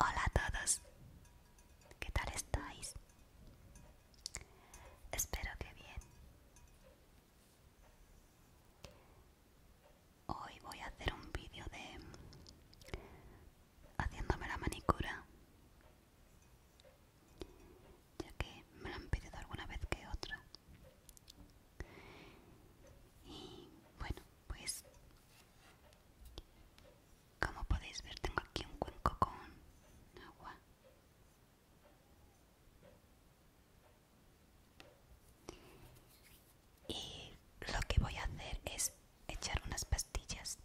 Hola a todos, ¿qué tal estáis? Espero que bien. Hoy voy a hacer un vídeo de haciéndome la manicura, ya que me lo han pedido alguna vez que otra. Y bueno, pues como podéis ver tengo aquí un cuenco con agua y lo que voy a hacer es echar unas pastillas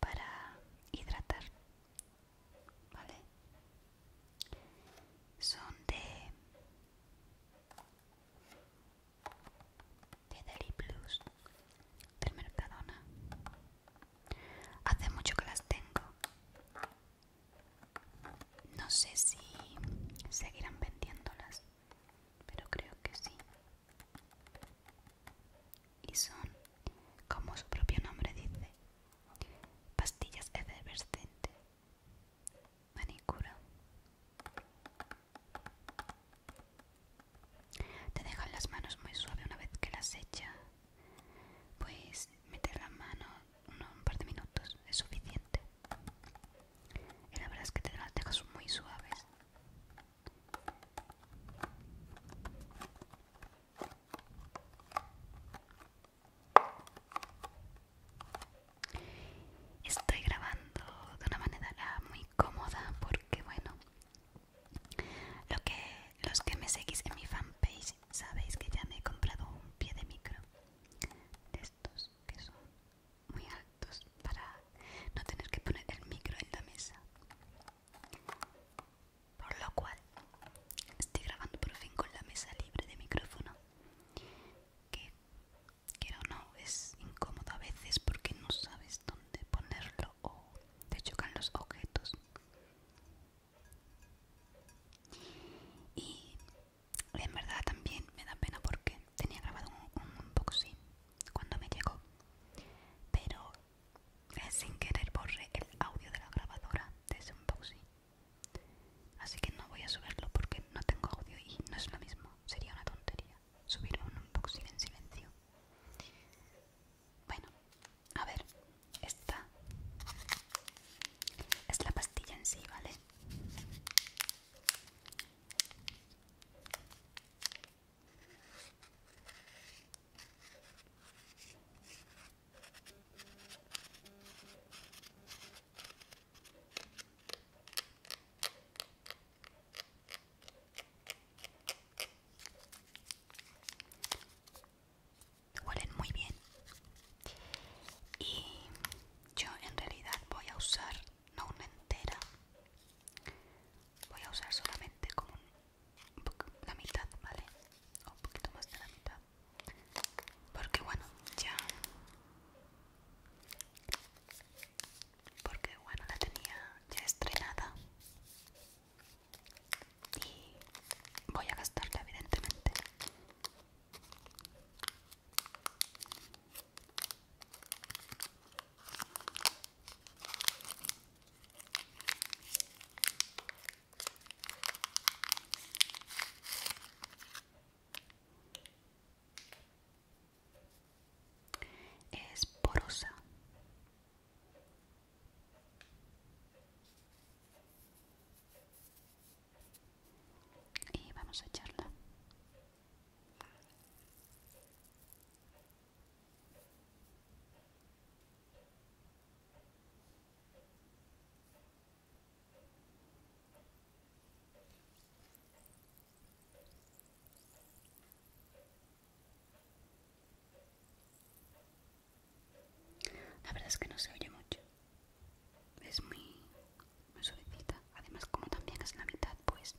para hidratar. ¿Vale? Son de de Plus del Mercadona. Hace mucho que las tengo. No sé si seguirán vendiéndolas pero creo que sí. Y son, como su propio nombre dice, pastillas efervescentes. Manicura. Te dejan las manos muy suaves una vez que las echas Pues meter la mano un par de minutos es suficiente y la verdad es que te las dejas muy suaves Estoy grabando de una manera muy cómoda porque bueno, lo que los que me seguís en mi fanpage sabéis que ya me he comprado un pie de micro de estos que son muy altos para no tener que poner el micro en la mesa. Por lo cual, estoy grabando por fin con la mesa libre de micrófono. Que, quiero o no, es incómodo a veces porque no sabes dónde ponerlo o te chocan los objetos. Y en verdad también me da pena porque tenía grabado un, unboxing cuando me llegó pero sin querer borré el audio de la grabadora de ese unboxing así que no voy a subirlo porque no tengo audio y no es lo mismo sería una tontería subir un unboxing en silencio bueno a ver esta es la pastilla en sí vale Huelen muy bien. Y yo en realidad voy a usar no una entera voy a usar solamente como la mitad vale o un poquito más de la mitad porque bueno ya porque bueno la tenía ya estrenada y voy a gastarla evidentemente es porosa. Y vamos a echarla. La verdad es que no se oye mucho. Es muy me solicita. Además, como también es la mitad, pues...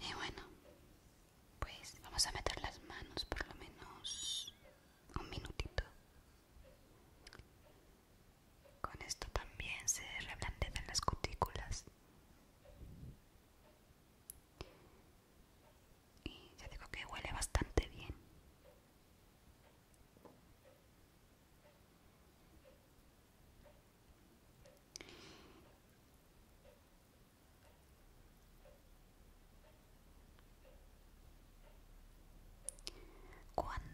Y bueno, pues vamos a meter las manos por lo menos un minutito. Con esto también se reblandecen las cutículas. Y ya digo que huele bastante bien. Cuando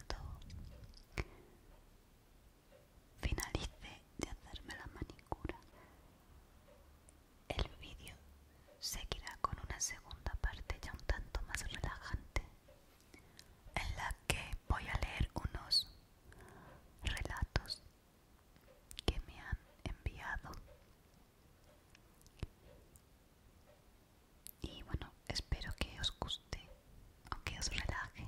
Finalice de hacerme la manicura. El vídeo seguirá con una segunda parte ya un tanto más relajante, en la que voy a leer unos relatos que me han enviado y bueno espero que os guste o que os relaje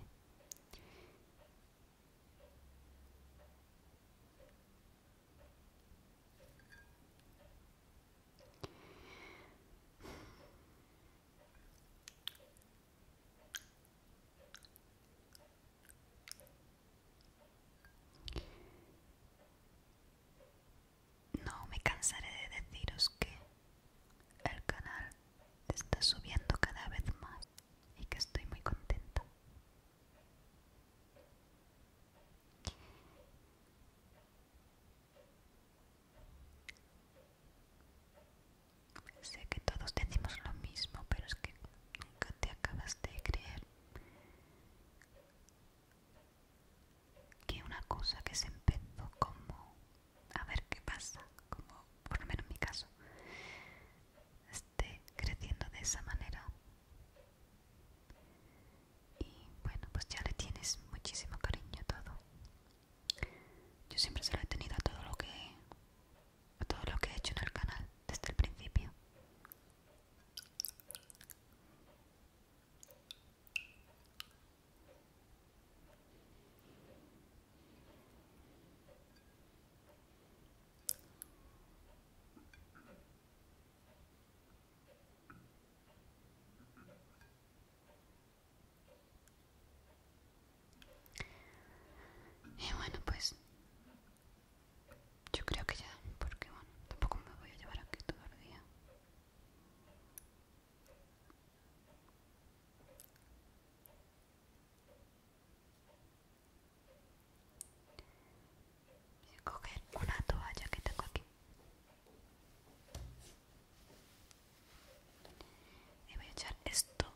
no me cansaré de deciros que el canal está subiendo cada vez más y que estoy muy contenta. Sé que todos decimos lo mismo, pero es que nunca te acabas de creer que una cosa que se empezó como a ver qué pasa, como por lo menos en mi caso, esté creciendo de esa manera. Y bueno, pues ya le tienes muchísimo cariño a todo. Yo siempre se lo he tenido a todo lo que a todo lo que he hecho en el canal desde el principio. Y bueno, pues yo creo que ya, porque bueno, tampoco me voy a llevar aquí todo el día. Voy a coger una toalla que tengo aquí y voy a echar esto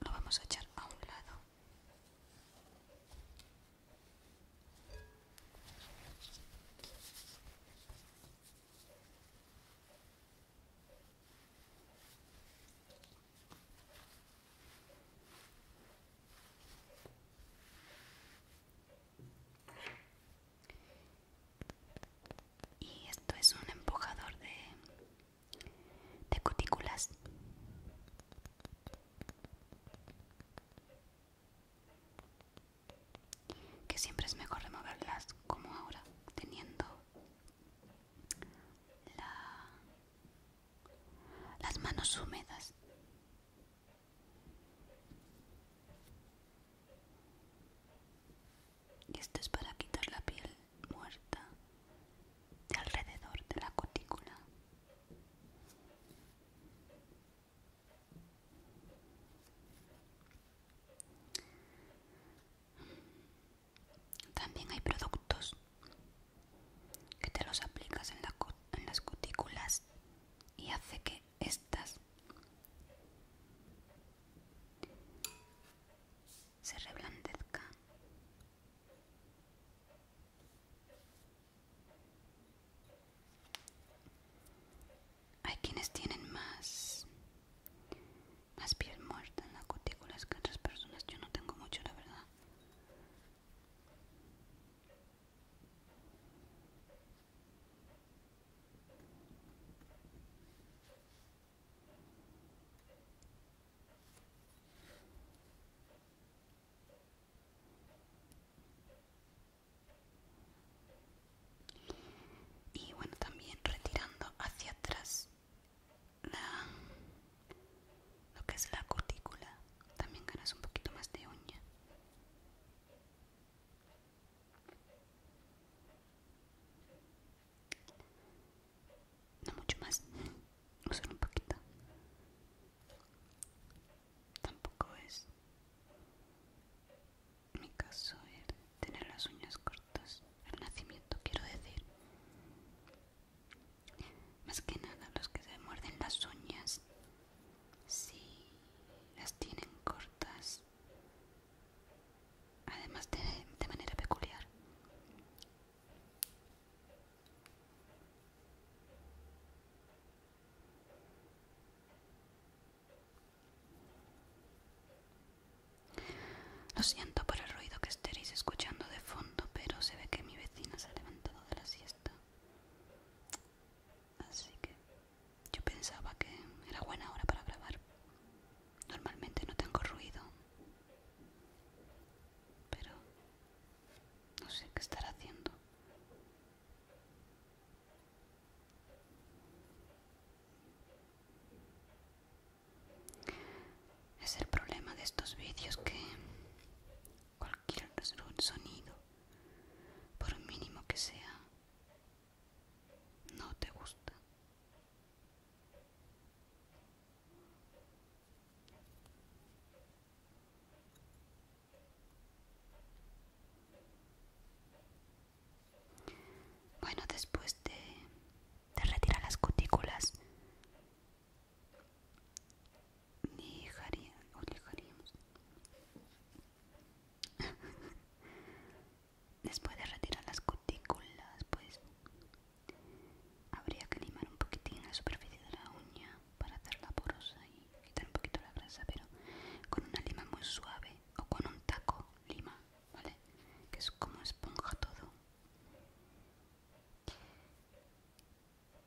lo vamos a echar a un lado y esto es un empujador de, cutículas. Que siempre es mejor removerlas como ahora, teniendo las manos húmedas. Y esto es para quitar la piel muerta alrededor de la cutícula. También hay productos que te los aplicas en, las cutículas y hace que estas se reblandezcan. Hay quienes tienen más más piel muerta en la cutícula es que otras personas. Yo no tengo mucho, la verdad. Y bueno, también retirando hacia atrás la, lo que es la cortícula También ganas un poquito más de uña. No mucho más, solo un poquito. Tampoco es mi caso tener las uñas cortas el nacimiento quiero decir. Más que nada los que se muerden las uñas, si las tienen cortas, además de, de manera peculiar. Lo siento por el ruido que estéis escuchando de fondo, pero se ve que mi vecina se ha levantado de la siesta. Así que yo pensaba que era buena hora para grabar. Normalmente no tengo ruido. Pero no sé qué estará haciendo. Es el problema de estos vídeos que cualquier sonido, por mínimo que sea, no te gusta. Bueno, después de de retira las cutículas. Después de retirar las cutículas, pues habría que limar un poquitín la superficie de la uña para hacerla porosa y quitar un poquito la grasa, pero con una lima muy suave o con un taco lima, ¿vale? Que es como esponja todo.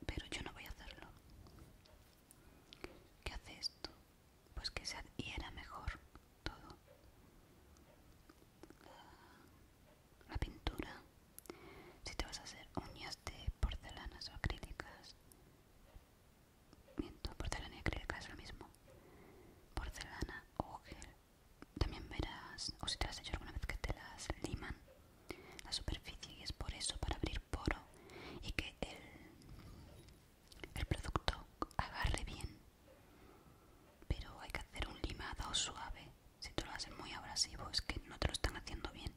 Pero yo no voy a hacerlo. ¿Qué hace esto? Pues que se adhiera mejor todo. La, pintura. Si te vas a hacer uñas de porcelanas o acrílicas. Miento, porcelana y acrílica es lo mismo. Porcelana o gel también verás, o si te las hecho alguna vez, que te las liman la superficie y es por eso, para abrir poro y que el, el producto agarre bien. Pero hay que hacer un limado suave. Si tú lo haces muy abrasivo, es que no te lo están haciendo bien.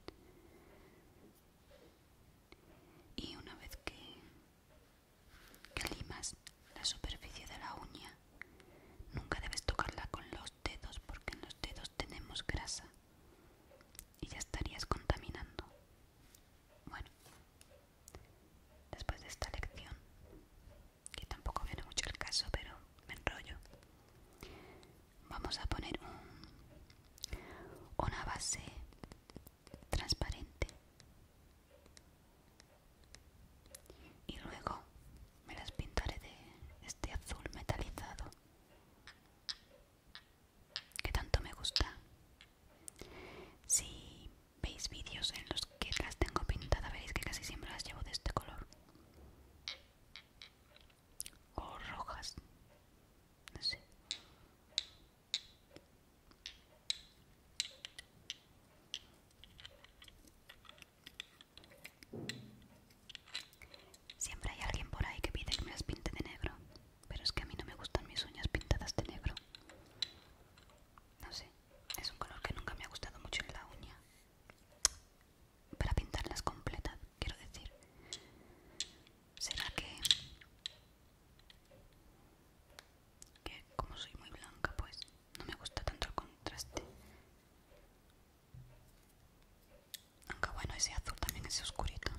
Y una vez que, que limas la superficie de la uña, Nunca debes tocarla con los dedos porque en los dedos tenemos grasa y ya estarías contaminando. Bueno, después de esta lección, que tampoco viene mucho el caso, pero me enrollo, vamos a poner una base transparente y luego me las pintaré de este azul metalizado que tanto me gusta si veis vídeos en los que las tengo pintadas veréis que casi siempre las llevo de este color o rojas no sé Siempre hay alguien por ahí que pide que me las pinte de negro, pero es que a mí no me gustan mis uñas pintadas de negro. No sé, es un color que nunca me ha gustado mucho en la uña. Para pintarlas completas, quiero decir. ¿Será que... que como soy muy blanca, pues no me gusta tanto el contraste aunque bueno ese azul también es oscurito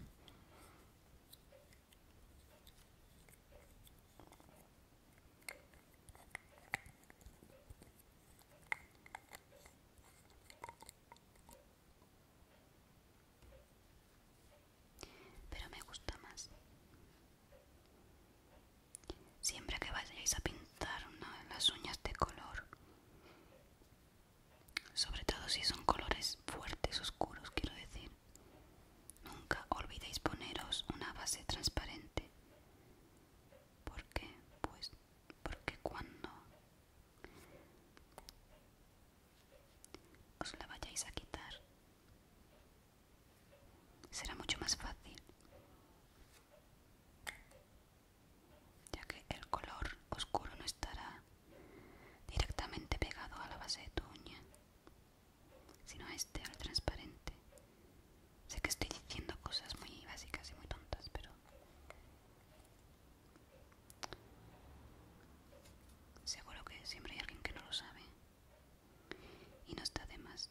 pero me gusta más Siempre que vayáis a pintar las uñas de color, sobre todo si son colores fuertes, oscuros, quiero decir, nunca olvidéis poneros una base transparente. ¿Por qué? Pues porque cuando os la vayáis a quitar, será mucho más fácil ya que el color oscuro no estará directamente pegado a la base de tu uña, sino a este, al transparente. Sé que estoy diciendo cosas muy básicas y muy tontas, pero... Seguro que siempre hay alguien que no lo sabe. Y no está de más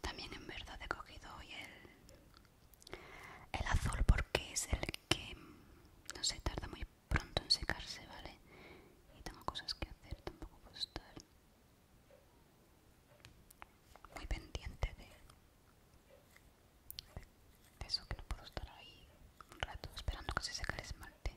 También en verdad he cogido hoy el, azul porque es el que no se tarda muy pronto en secarse, ¿vale? Y tengo cosas que hacer, tampoco puedo estar muy pendiente de, de eso que no puedo estar ahí un rato esperando que se seque el esmalte.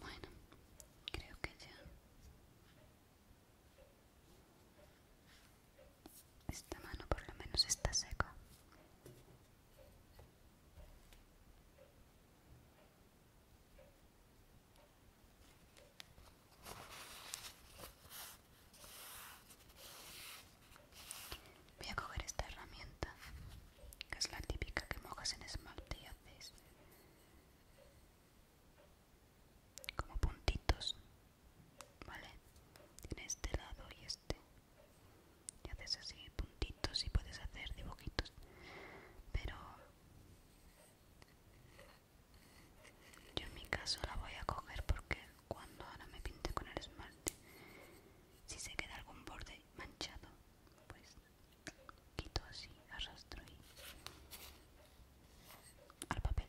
Bueno, creo que ya esta mano por lo menos está seca. Voy a coger esta herramienta, que es la típica que mojas en esmalte y haces como puntitos, ¿vale? Tiene este lado y este, y haces así puntitos si puedes hacer dibujitos pero yo en mi caso la voy a coger porque cuando ahora me pinte con el esmalte si se queda algún borde manchado pues quito así arrastro y al papel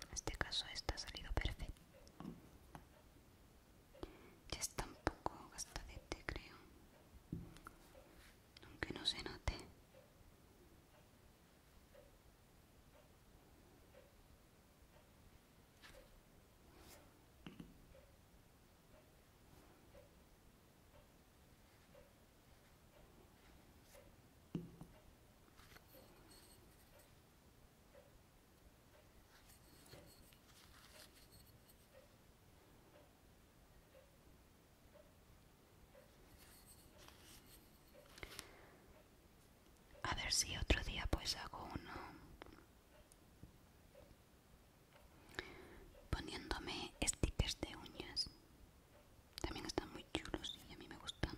En este caso esta ha salido perfecto Ya está un poco gastadete, creo. Aunque no se note. A ver si otro día pues hago uno poniéndome stickers de uñas. También están muy chulos y a mí me gustan.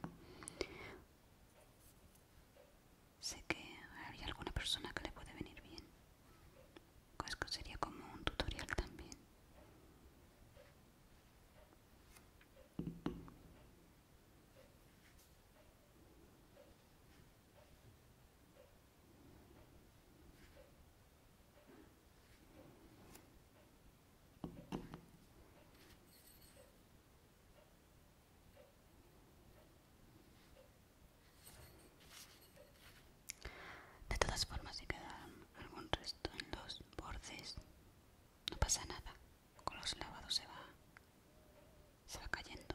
Sé que hay alguna persona que le puede venir bien. pues que sería como un tutorial también. De todas formas, si queda algún resto en los bordes, no pasa nada. Con los lavados se va, se va cayendo.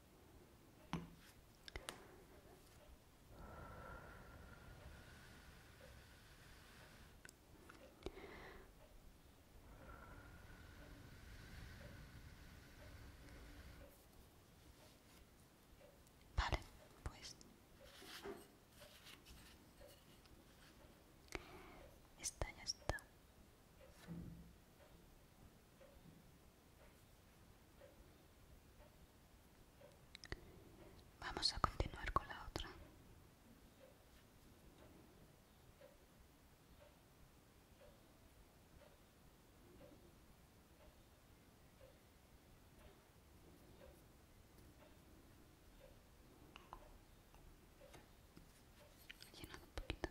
Vale, pues está ya está. Vamos a continuar con la otra. un poquito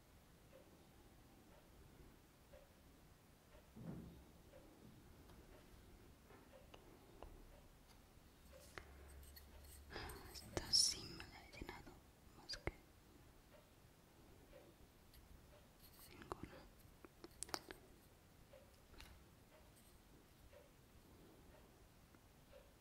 Esto sí me ha llenado más que ninguna.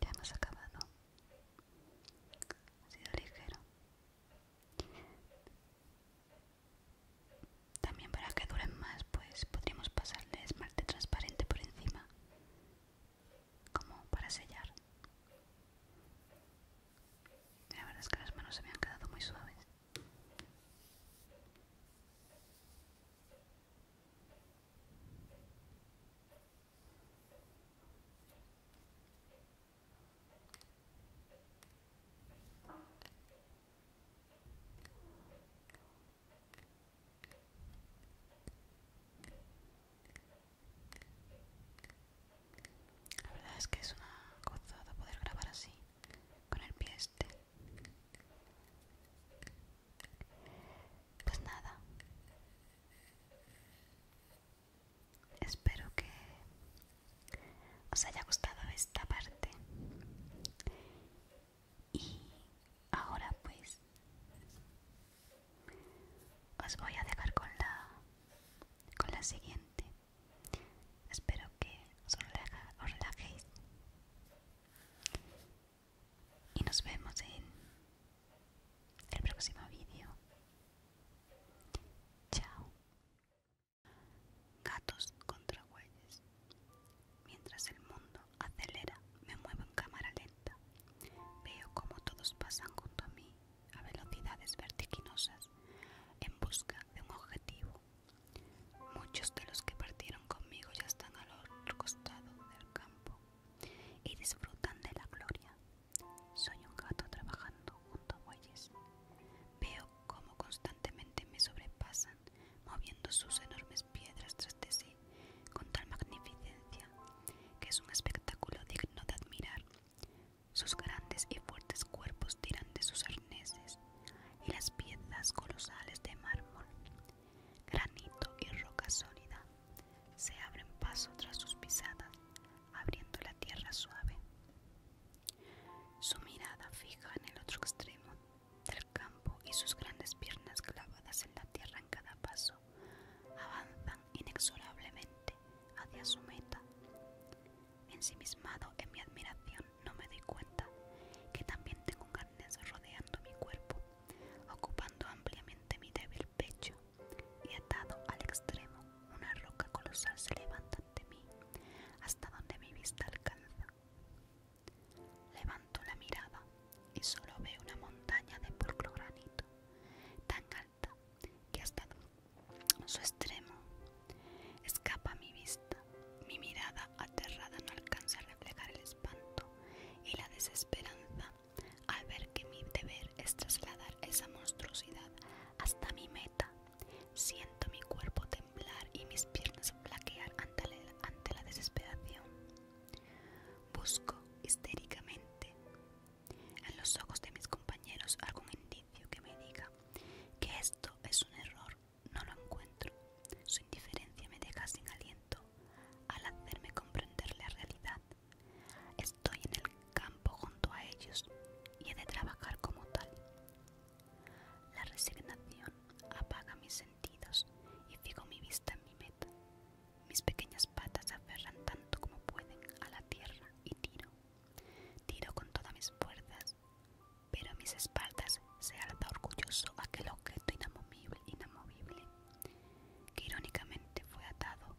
ya hemos acabado. Ha sido ligero. También para que duren más, pues podríamos pasarle esmalte transparente por encima como para sellar. La verdad es que las manos se me han quedado muy suaves. La verdad es que es una gozada poder grabar así, con el pie este. Pues nada. Espero que os haya gustado esta parte. Y ahora pues os voy a dejar con la, con la siguiente. Espero que os, relajéis. Y nos vemos en el próximo vídeo. Chao. Gatos contra huellas Mientras el mundo acelera, me muevo en cámara lenta. Veo cómo todos pasan junto a mí a velocidades vertiginosas en busca de un objetivo. Muchos de los que partieron conmigo ya están al otro costado del campo y disfrutan de la gloria. Soy un gato trabajando junto a bueyes. Veo cómo constantemente me sobrepasan, moviendo sus enormes piedras tras de sí con tal magnificencia que es un espectáculo digno de admirar. Sus grandes y fuertes cuerpos tiran de sus arneses y las piezas colosales de mármol, granito y roca sólida se abren paso tras sus pisadas, abriendo la tierra suave. Su mirada fija en el otro extremo del campo y sus grandes piernas clavadas en la tierra en cada paso avanzan inexorablemente hacia su meta. Ensimismado en mi admiración, no me doy cuenta que también tengo carnes rodeando mi cuerpo, ocupando ampliamente mi débil pecho, y atado al extremo, una roca colosal se levanta ante mí, hasta donde mi vista alcanza. Levanto la mirada y solo veo una montaña de pulcro granito, tan ha que hasta su extremo escapa a mi vista. Mi mirada aterrada no alcanza a reflejar el espanto y la desesperanza al ver que mi deber es trasladar esa monstruosidad hasta mi meta. Siento mi cuerpo temblar y mis piernas flaquear ante ante la desesperación. Busco histéricamente en los ojos de mis compañeros algún indicio que me diga que esto es un error, no lo encuentro. Su indiferencia me deja sin aliento al hacerme comprender la realidad. Estoy en el campo junto a ellos y he de trabajar como tal. La resignación apaga mis sentidos y fijo mi vista en mi meta. Mis pequeñas patas aferran tanto como pueden a la tierra y tiro. Tiro con todas mis fuerzas, pero a mis espaldas se alza orgulloso aquel objeto inamovible, inamovible que irónicamente fue atado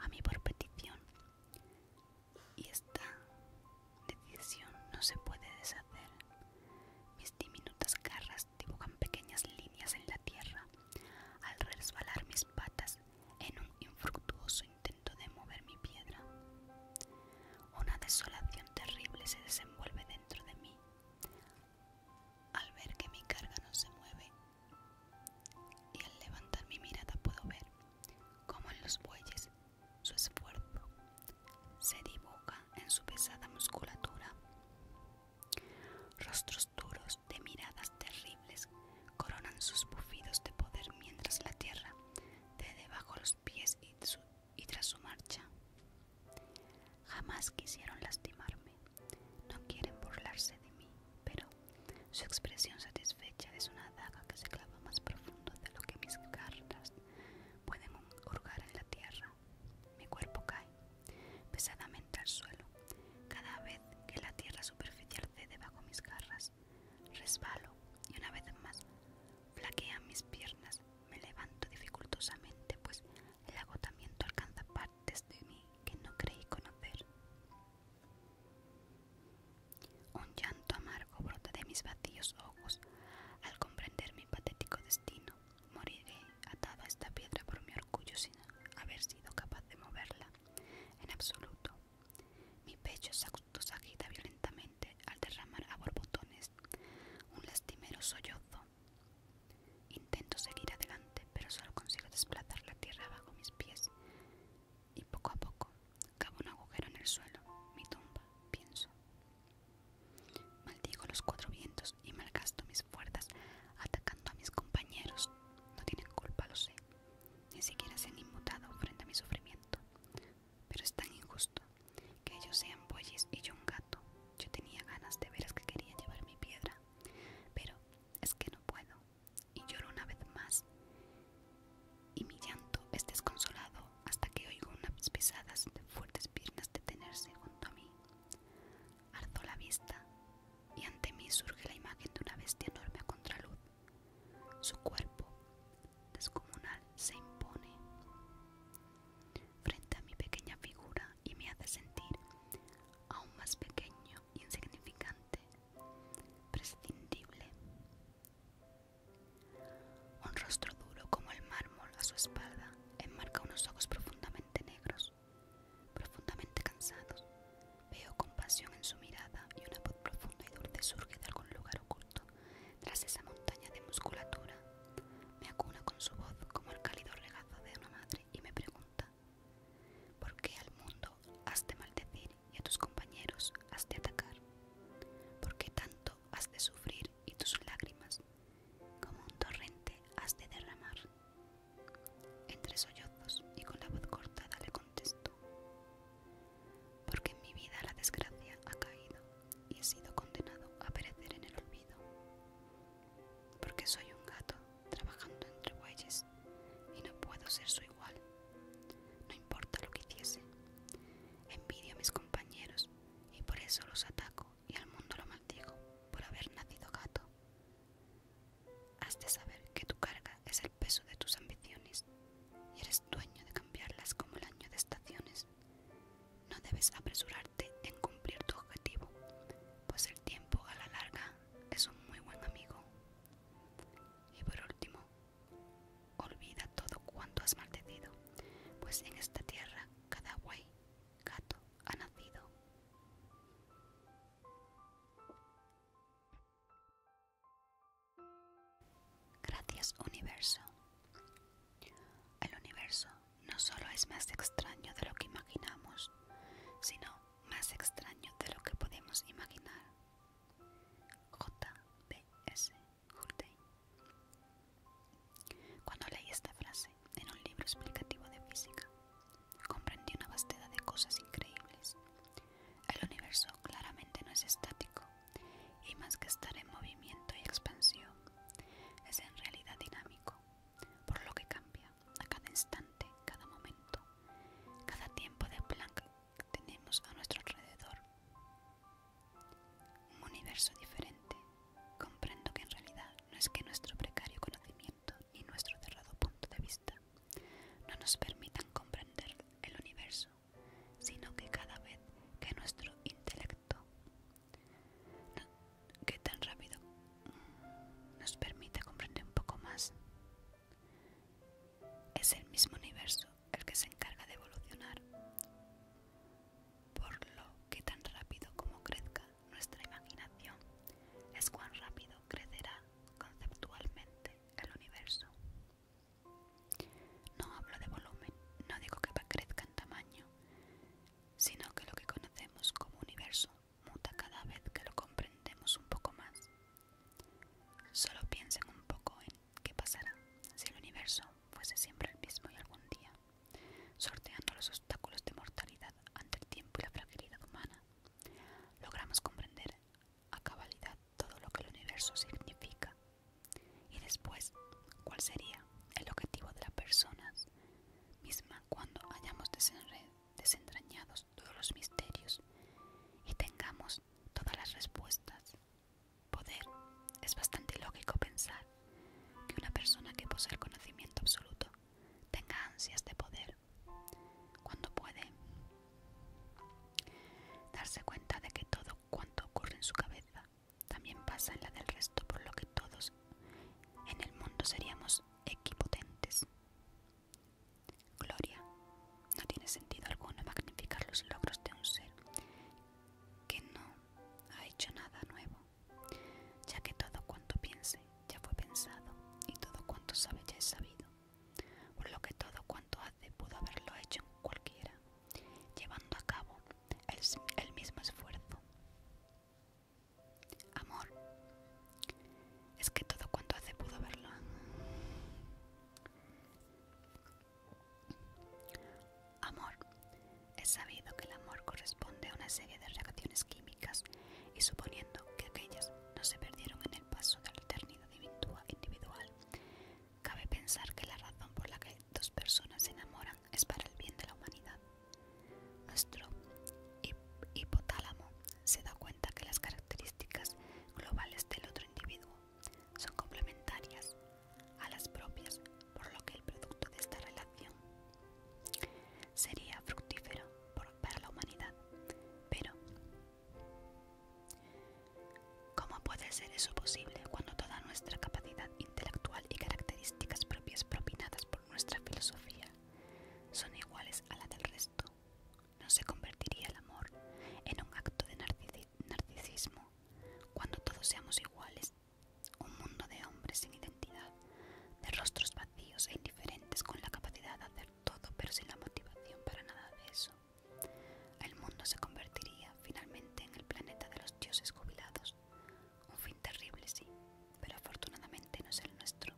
a mí por petición. Y esta decisión no se puede deshacer. Mis diminutas garras dibujan pequeñas líneas en la tierra al resbalar mis patas en un infructuoso intento de mover mi piedra. Una desolación terrible se desenvuelve dentro de mí al ver que mi carga no se mueve y al levantar mi mirada puedo ver cómo en los bueyes su esfuerzo se dibuja en su pesada musculatura. Rostros duros de miradas terribles coronan sus bufidos de poder mientras la tierra de debajo los pies y, tras su marcha. Jamás quisieron lastimarme, no quieren burlarse de mí, pero su expresión satisfecha es una daga que se clava más profundo de lo que mis garras pueden hurgar en la tierra. Mi cuerpo cae pesadamente al suelo cada vez que la tierra superficial cede bajo mis garras resbalo y una vez más flaquean mis piernas, me levanto dificultosamente, pues el agotamiento alcanza partes de mí que no creí conocer. Un llanto amargo brota de mis vacíos ojos al comprender mi patético destino. Moriré atado a esta piedra por mi orgullo sin haber sido capaz de moverla en absoluto. Mi pecho se agita violentamente al derramar a borbotones un lastimero sollozo. Intento seguir adelante, pero solo consigo desplazar la tierra bajo mis pies. Y poco a poco cavo un agujero en el suelo, mi tumba, pienso. Maldigo los cuatro vientos y malgasto mis fuerzas atacando a mis compañeros. No tienen culpa, lo sé ni siquiera se han inmutado frente a mi sufrimiento. Pero es tan injusto que ellos sean bueyes y yo un gato. Yo tenía ganas de veras que quería llevar mi piedra, pero es que no puedo. Y lloro una vez más. Y mi llanto es desconsolado hasta que oigo unas pisadas de fuertes piernas detenerse junto a mí. Ardo la vista y ante mí surge la imagen de una bestia enorme a contraluz su cuerpo descomunal se impone frente a mi pequeña figura y me hace sentir aún más pequeño, insignificante, prescindible. Un rostro duro como el mármol a su espalda enmarca unos ojos profundamente negros, profundamente cansados, Veo compasión en su mirada y una voz profunda y dulce surge de algún lugar oculto, tras esa montaña de musculatura. Me acuna con su voz como el cálido regazo de una madre y me pregunta, ¿por qué al mundo has de maldecir y a tus compañeros has de atacar? ¿Por qué tanto has de sufrir y tus lágrimas como un torrente has de derramar? Entre sollozos y con la voz cortada le contesto, porque en mi vida la desgracia ha caído y he sido condenado a perecer en el olvido, porque soy un gato trabajando entre bueyes y no puedo ser su igual, no importa lo que hiciese, envidio a mis compañeros y por eso los ataco y al mundo lo maldigo por haber nacido gato. Has de saber que tu carga es el peso de tus ambiciones y eres dueño de cambiarlas como el año de estaciones. No debes apresurarte en cumplir tu objetivo, pues el tiempo a la larga es un muy buen amigo. Y por último, olvida todo cuanto has maldecido, pues en esta tierra cada guay gato ha nacido. Gracias universo. El universo no solo es más extraño de lo que imaginamos, sino más extraño de lo que podemos imaginar. J.B.S. Hurtey. Cuando leí esta frase en un libro explicativo de física, comprendí una vastedad de cosas increíbles el universo claramente no es estático, y más que estar en movimiento y expansión, es en realidad dinámico, por lo que cambia a cada instante, cada momento, cada tiempo de plan que tenemos a nuestro alrededor. Un universo diferente. Comprendo que en realidad no es que nuestro precario conocimiento ni nuestro cerrado punto de vista no nos permitan comprender el universo sino que cada vez que nuestro intelecto que tan rápido nos permite comprender un poco más, es el mismo universo el que se encarga de evolucionar, por lo que tan rápido como crezca nuestra imaginación es cuán rápido crecerá conceptualmente el universo. No hablo de volumen, no digo que crezca en tamaño, sino que lo que conocemos como universo muta cada vez que lo comprendemos un poco más. Solo piensen un poco en qué pasará si el universo fuese siempre el mismo y algún día, sorteando los obstáculos de mortalidad ante el tiempo y la fragilidad humana, logramos comprender a cabalidad todo lo que el universo significa. Y después, ¿cuál sería el objetivo de las personas misma cuando hayamos desentrañados todos los misterios y tengamos todas las respuestas? Poder. Es bastante lógico pensar que una persona que posee el conocimiento absoluto tenga ansias de poder. Cuando puede Darse cuenta de que todo cuanto ocurre en su cabeza también pasa en la del resto, por lo que todos en el mundo seríamos equipotentes. Gloria. No tiene sentido alguno magnificar los logros de un ser que no ha hecho nada nuevo, ya que todo cuanto piense ya fue pensado y todo cuanto sabe ya es sabido, por lo que todo cuanto hace pudo haberlo hecho cualquiera llevando a cabo el, mismo esfuerzo. Amor, es que todo cuanto hace pudo verlo. Amor, es sabido que el amor corresponde a una serie de reacciones químicas y suponiendo que aquellas no se perdieron en el paso de la eternidad individual, Cabe pensar que la razón por la que dos personas se enamoran es para el bien de la humanidad. Nuestro hipotálamo se da cuenta que las características globales del otro individuo son complementarias a las propias, por lo que el producto de esta relación sería fructífero para la humanidad. Pero ¿Cómo puede ser eso posible cuando toda nuestra capacidad intelectual y características propias propinadas por nuestra filosofía son iguales a la del resto? ¿No se convertiría el amor en un acto de narcisismo cuando todos seamos iguales? Un mundo de hombres sin identidad, de rostros vacíos e indiferentes con la capacidad de hacer todo pero sin la motivación para nada de eso. El mundo se convertiría finalmente en el planeta de los dioses jubilados. Un fin terrible, sí, pero afortunadamente no es el nuestro.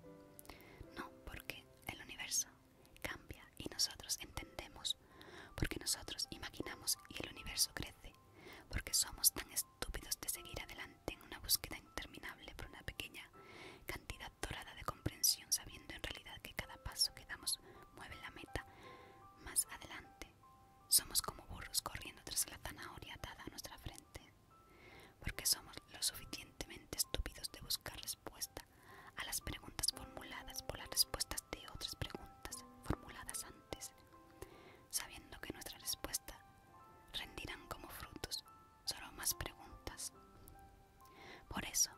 No, porque el universo cambia y nosotros entendemos, porque nosotros imaginamos y el universo crece, porque somos tan estúpidos de seguir adelante en una búsqueda interminable por una pequeña cantidad dorada de comprensión sabiendo en realidad que cada paso que damos mueve la meta más adelante. Somos como burros corriendo tras la zanahoria atada a nuestra frente, porque somos lo suficientemente estúpidos de buscar respuesta a las preguntas formuladas por las respuestas de otras preguntas formuladas antes, sabiendo que nuestra respuesta rendirán como frutos solo más preguntas. Por eso,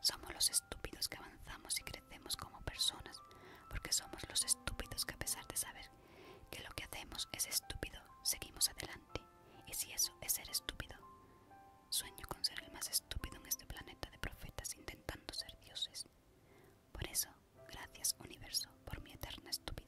somos los estúpidos que avanzamos y crecemos como personas, porque somos los estúpidos que a pesar de saber que lo que hacemos es estúpido, seguimos adelante. Y si eso es ser estúpido, sueño con ser el más estúpido en este planeta de profetas intentando ser dioses. Por eso, gracias universo por mi eterna estupidez.